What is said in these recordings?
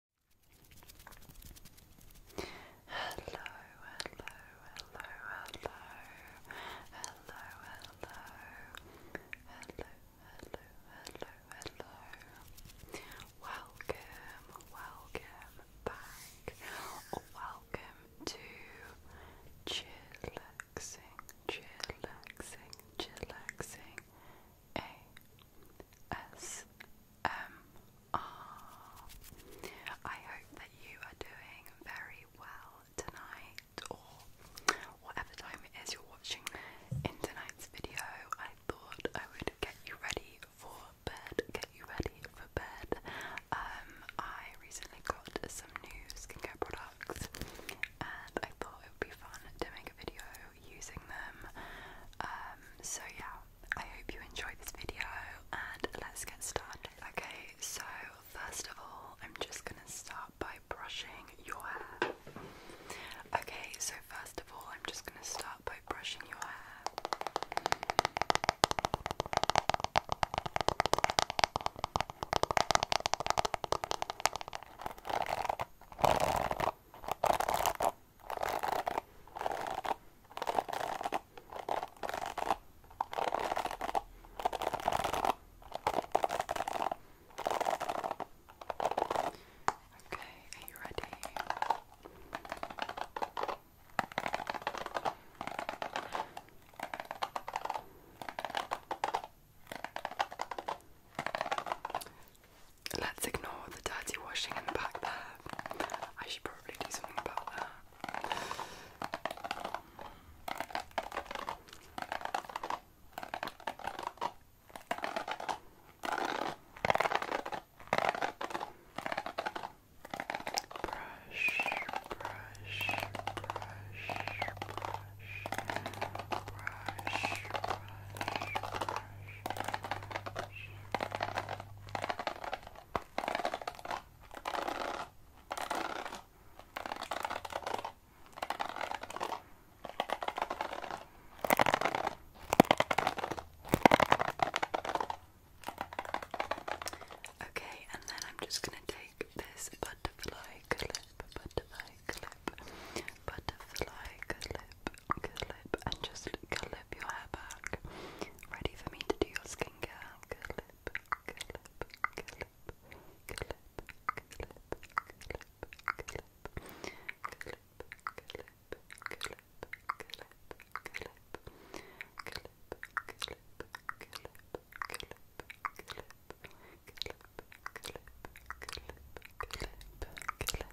hello, hello, hello, hello, hello, hello, hello, hello, hello, hello. Welcome, welcome back, welcome to chillaxing, chillaxing, chillaxing. A S M R. I hope that you are doing very well tonight, or whatever time it is you're watching. In tonight's video, I thought I would get you ready for bed. Get you ready for bed. Um, I recently got some new skincare products, and I thought it would be fun to make a video using them. Um, so yeah, I hope you enjoyed this video and let's get started. Okay, so first of all, I'm just gonna start by brushing your hair. Okay, so first of all, I'm just gonna start by brushing your hair. Okay, are you ready? let's ignore the dirty washing in the back there. I should probably do something about that. Brush, brush, brush, brush. Brush, brush, brush, Okay, and then I'm just going to take this butterfly clip, butterfly clip, butterfly clip, clip, and just clip your hair back. Ready for me to do your skincare? Clip, clip, clip, clip, clip, clip, clip, clip. Clip, clip, clip, clip, clip, clip, clip, clip, clip, clip, clip, clip, clip, clip, clip.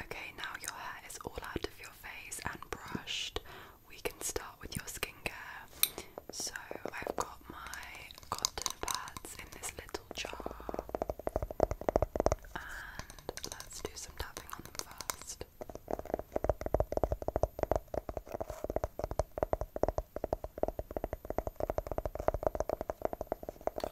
Okay, now your hair is all out of your face and brushed. We can start with your skincare. So, I've got my cotton pads in this little jar. And let's do some tapping on them first.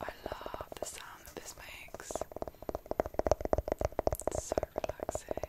I love the sound that this makes. It's so relaxing.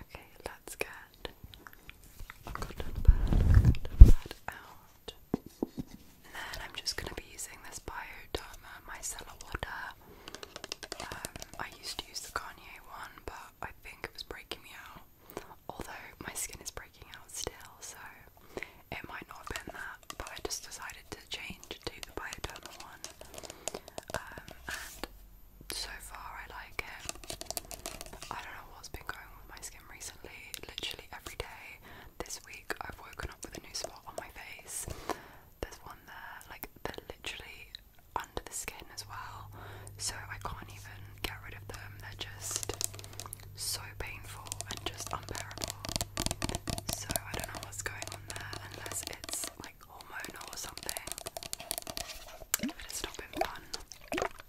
Okay, let's get a cotton pad, a pad out. And then I'm just going to be using this Bioderma micellar water. Um, I used to use the Garnier one, but I think it was breaking me out. Although my skin is breaking out still, so it might not have been that, but I just decided to change to the Bioderma one. Um, and so far, I like it. I don't know what's been going on with my skin recently. Literally every day this week, I've woken up with a new spot on my face. There's one there, like they're literally under the skin as well, so I can't even get rid of them. They're just so painful and just unbearable. So I don't know what's going on there unless it's like hormonal or something. But it's not been fun. Okay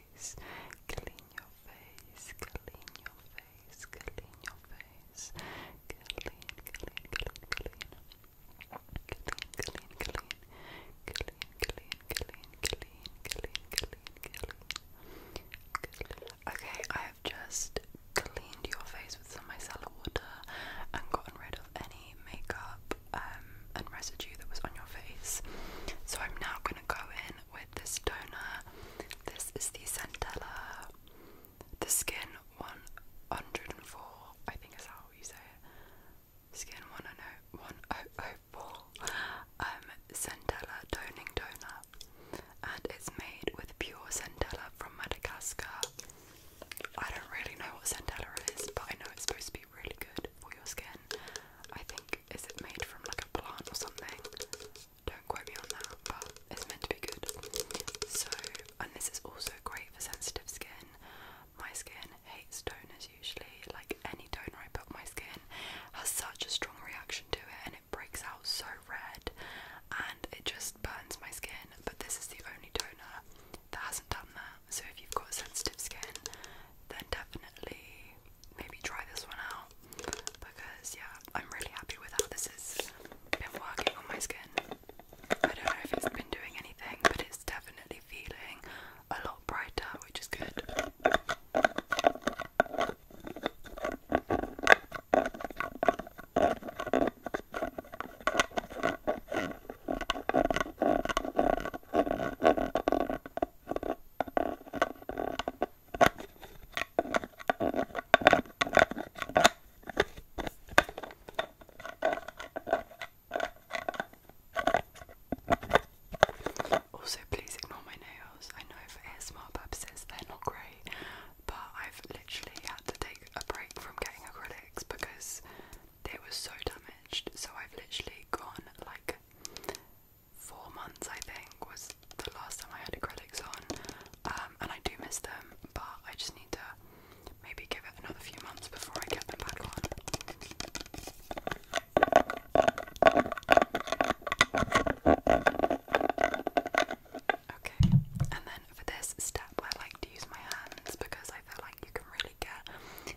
face, clean your face, clean your face, clean your face, clean, clean, clean, clean, clean, clean, clean, clean, clean, clean, clean, clean, clean, clean. Okay, I have just cleaned your face with some micellar water and gotten rid of any makeup um, and residue that was on your face. So I'm now going to go in with this toner. This is the Centella, the Skin 104. I think is how you say it. Skin 104 um, Centella Toning Toner, and it's made with pure Centella from Madagascar. I don't really know what Centella is, but I know it's supposed to be really good for your skin. I think is it made from like a plant or something? Don't quote me on that, but it's meant to be good. So, and this is also great for sensitive skin. My skin hates toners usually. Like any toner I put on my skin has such a strong reaction to it, and it breaks out so red, and it just burns my skin. But this is the only toner that hasn't done that. So if you've got sensitive skin, then definitely maybe try this one out because yeah, I'm really happy with how this has been working on my skin. I don't know if it's been doing anything, but it's definitely feeling a lot brighter, which is good. Also, please ignore my nails. I know for ASMR purposes they're not great, but I've literally had to take a break from getting acrylics because they were so damaged. So I've literally gone like four months I think was the last time I had acrylics on um, and I do miss them but I just need to maybe give it another few months before I get them back on. Okay, and then for this step I like to use my hands because I feel like you can really get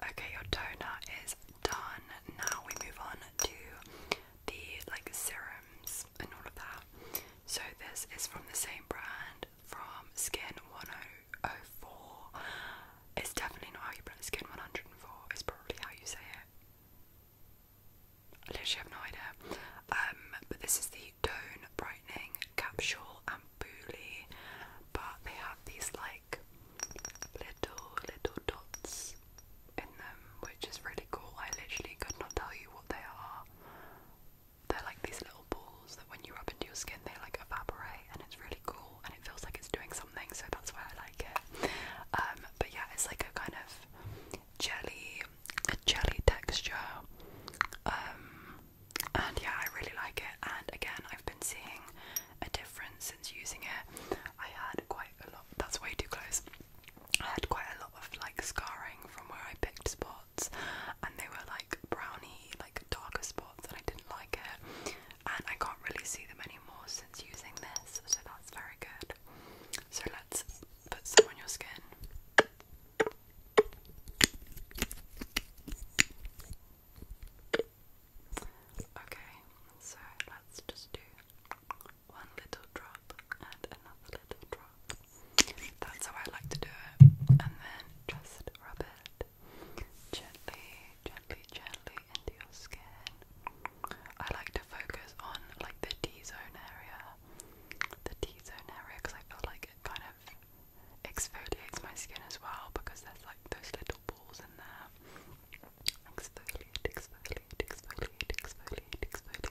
Okay, your toner is done. Now we move on to the like serums and all of that. So this is from the same brand from Skin 104. It's definitely not how you pronounce Skin 104. It's probably how you say it. I literally have no idea. Um, but this is the Tone Brightening Capsule and Booly. But they have these like little, little dots in them, which is really cool. I literally could not tell you what they are. They're like these little balls that when you rub into your skin they like evaporate and it's really cool and it feels like it's doing something so that's why I like it. Um, but yeah it's like a kind of jelly jelly texture. Um, and yeah I really like it and again I've been seeing a difference since using it. I had quite a lot that's way too close. I had quite a lot of like scarring from where I picked spots, and they were like browny, like darker spots, and I didn't like it. And I can't really see them anymore since using this, so that's very good. So let's put some on your skin. Okay, so let's just do one little drop and another little drop. That's how I like to do it. And then just rub it gently, gently, gently into your skin. I like to focus on like the T zone area, the T zone area, because I feel like it kind of exfoliates my skin as well because there's like those little balls in there. Exfoliate, exfoliate, exfoliate, exfoliate, exfoliate,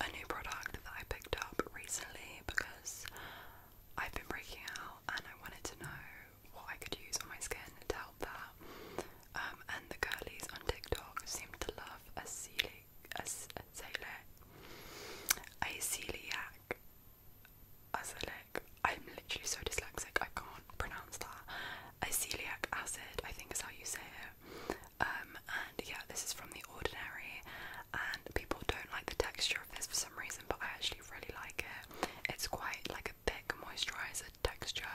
a new product that I picked up recently because I've been breaking out and I wanted to know what I could use on my skin to help that. Um, and the girlies on TikTok seem to love a celiac, a, a celiac, a celiac, I'm literally so dyslexic, I can't pronounce that. A celiac acid, I think is how you say it. Um, and yeah, this is from The Ordinary, and people don't like the texture of this for some reason, but I actually really like it. It's quite like a thick moisturizer texture,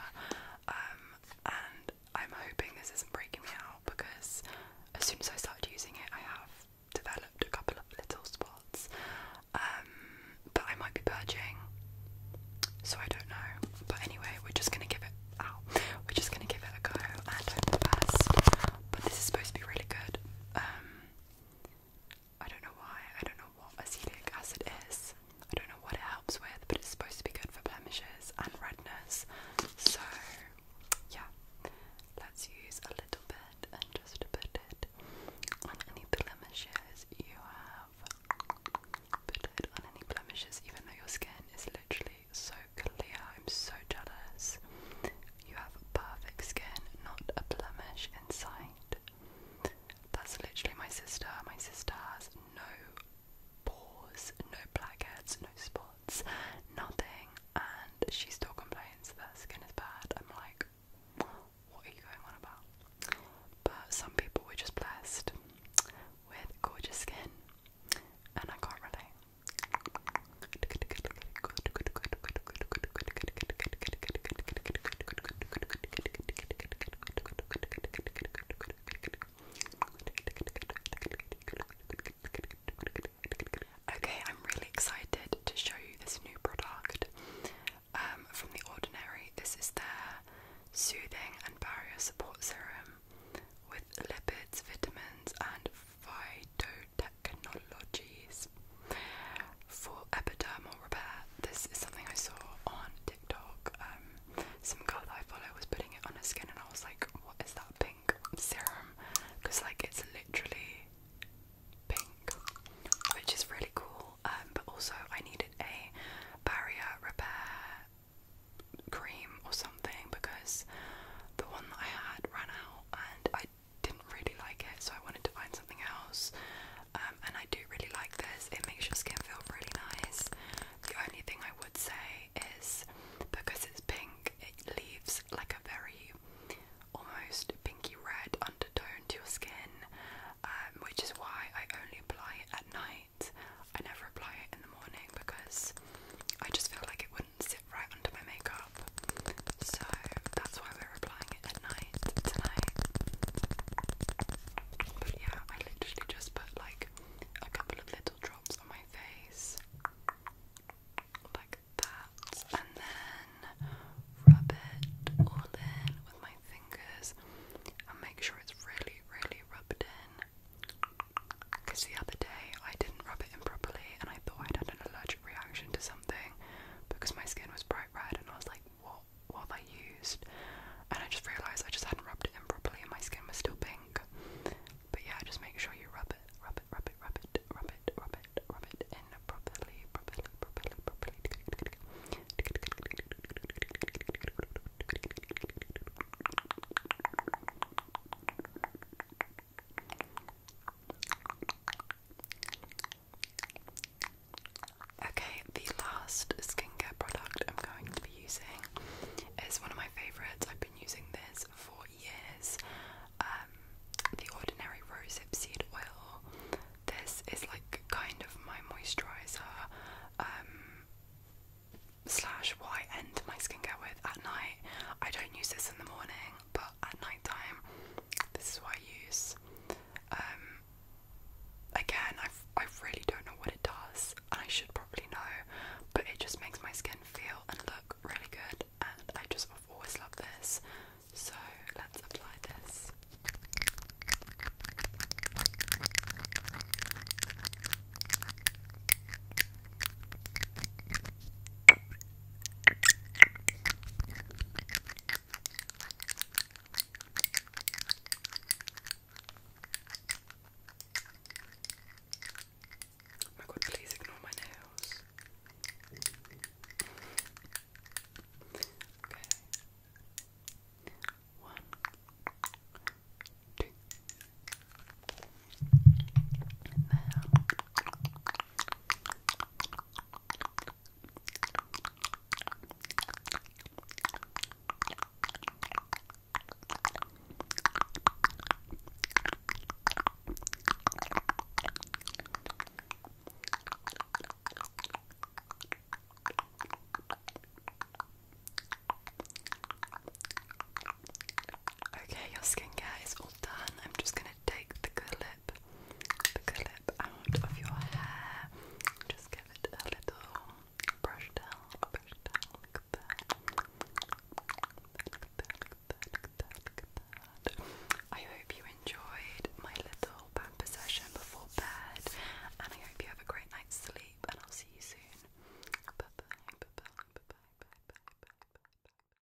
um, and I'm hoping this isn't breaking me out because as soon as I started using it, I have developed a couple of little spots um, But I might be purging, so I don't know. But anyway, we're just gonna give it out. We're just gonna give it a go and hope for the best but this is supposed to be really good. Um, I don't know why, I don't know what acetic acid is, I don't know what it helps with, but it's supposed to be good for blemishes and redness. So, yeah, let's use a little bit and just put it on any blemishes you have. Put it on any blemishes, even though your skin is literally so clear. I'm so jealous. You have perfect skin, not a blemish in sight. That's literally my sister. My sister has no pores, no blackheads, no spots, nothing, and she still complains that her skin is bad. I'm like, what are you going on about? But some people were just blessed with gorgeous skin, and I can't relate. Okay, I'm really excited to show you this new product um, from The Ordinary. This is their Soothing and Barrier Support Serum with lipids, vitamins, and phytote technologies for epidermal repair. This is something I saw on TikTok. Um, some girl I follow was putting it on her skin, and I was like, "What is that pink serum?" Because like it's literally pink, which is really cool. Um, but also, I needed a barrier repair cream or something something because the one that I had ran out and I didn't really like it, so I wanted to find something else. Um, and I do really like this, it makes your skin feel really nice. The only thing I would say is because it's pink, it leaves like a very almost pinky red undertone to your skin, um, which is why I only apply it at night. I never apply it in the morning because I just feel like it would sit right under my makeup. So that's why we're applying it at night tonight. But yeah, I literally just put like a couple of little drops on my face. Like that. And then rub it all in with my fingers and make sure it's really, really rubbed in. Because the other day I didn't rub it in properly and I thought I'd had an allergic allergic reaction to something because my skin was bright red and I was like, what what have I used? And I just realised I just hadn't rubbed it in properly and my skin was still pink. But yeah, just make sure you rub it, rub it, rub it, rub it, rub it, rub it, rub it in properly, properly, properly, properly. Okay, the last skincare product I'm going to be using is one of my favourites. I've been using this for years. Um, the Ordinary Rosehip Seed Oil. This is like kind of my moisturiser um, slash why I end my skincare with at night. I don't use this in the morning but at night time, this is what I use. Um, again, I, I really don't know what it does, and I should probably know, but it just makes my skin feel and look really good, and I just always love this. So let's apply this. Oh my god, please ignore my nails. Okay. One, two, Okay, your skincare is all done. I'm just going to take the clip, the clip out of your hair. Just give it a little brush down, brush down, I hope you enjoyed my little pamper session before bed, and I hope you have a great night's sleep, and I'll see you soon. bye bye, bye bye, bye bye, bye bye. bye.